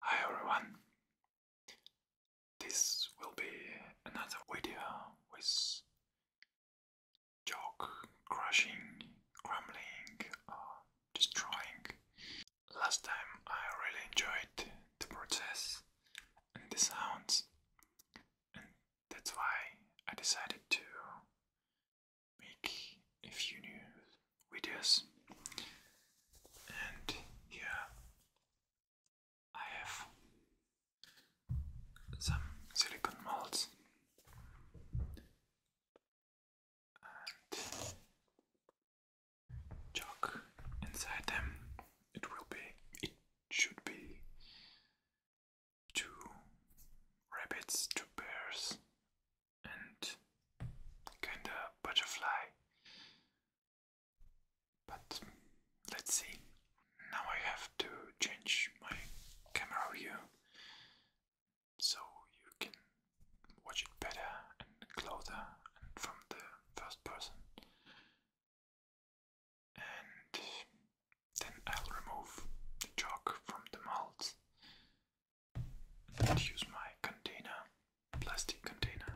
Hi everyone, this will be another video with joke crashing, crumbling, destroying. Last time I really enjoyed the process and the sounds, and that's why I decided to make a few new videos. And here I have some silicon molds. And chalk inside them. It will be, it should be two rabbits, two bears, and kinda butterfly. But let's see. Now I have to change my camera view so you can watch it better and closer from the first person. And then I'll remove the chalk from the molds and use my container, plastic container.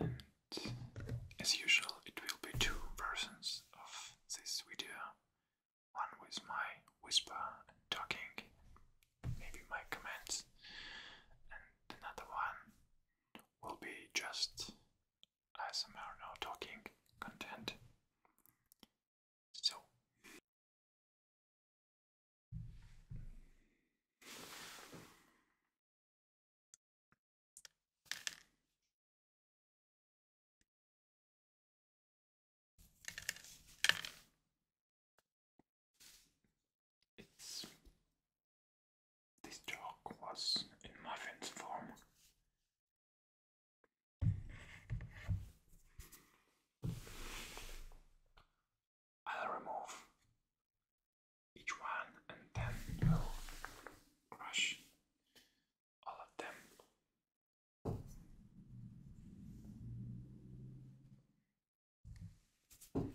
And as usual, it will be two versions of this video one with my whisper talking, maybe my comments, and another one will be just ASMR no talking content. So. this joke was in muffin's form. I'll remove each one and then we'll brush all of them.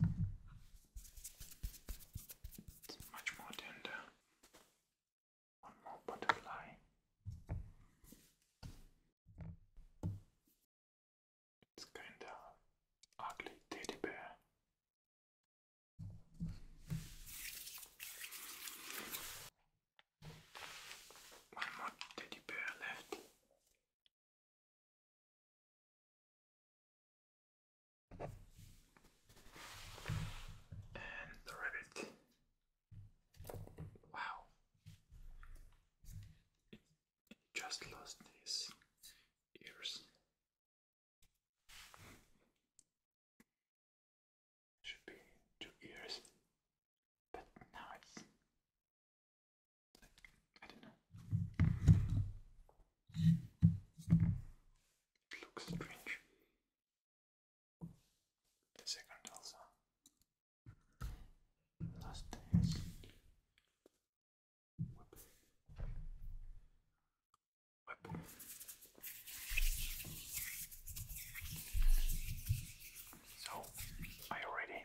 It's much more tender. One more butterfly. It's kind of ugly teddy bear. One more teddy bear left. And the rabbit. Wow. just lost his ears. Should be two ears, but now it's I don't know. It looks strange. The second also. Last dance. Whip. Whip. So, are you ready?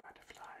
Butterfly.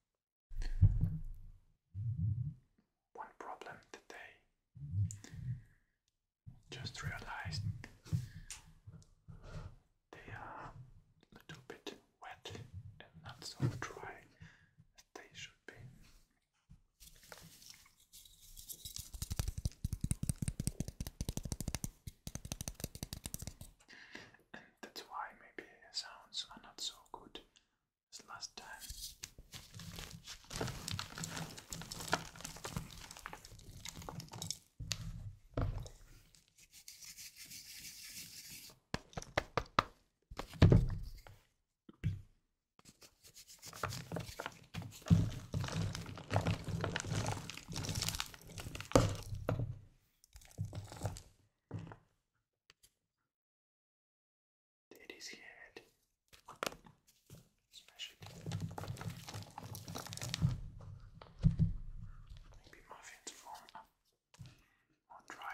One problem today. just realized they are a little bit wet and not so dry as they should be and that's why maybe sounds are not so good as last time. It is head. Smash it. Maybe muffins form. I'll try.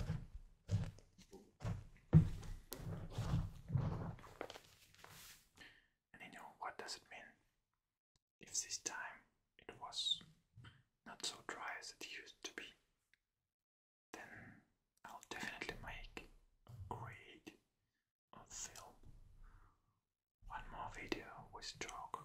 And you know what does it mean? If this time it was not so dry as it used to be, then I'll definitely make a film. One more video with chalk.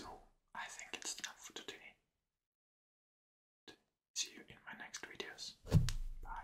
So, I think it's enough for today. See you in my next videos. Bye.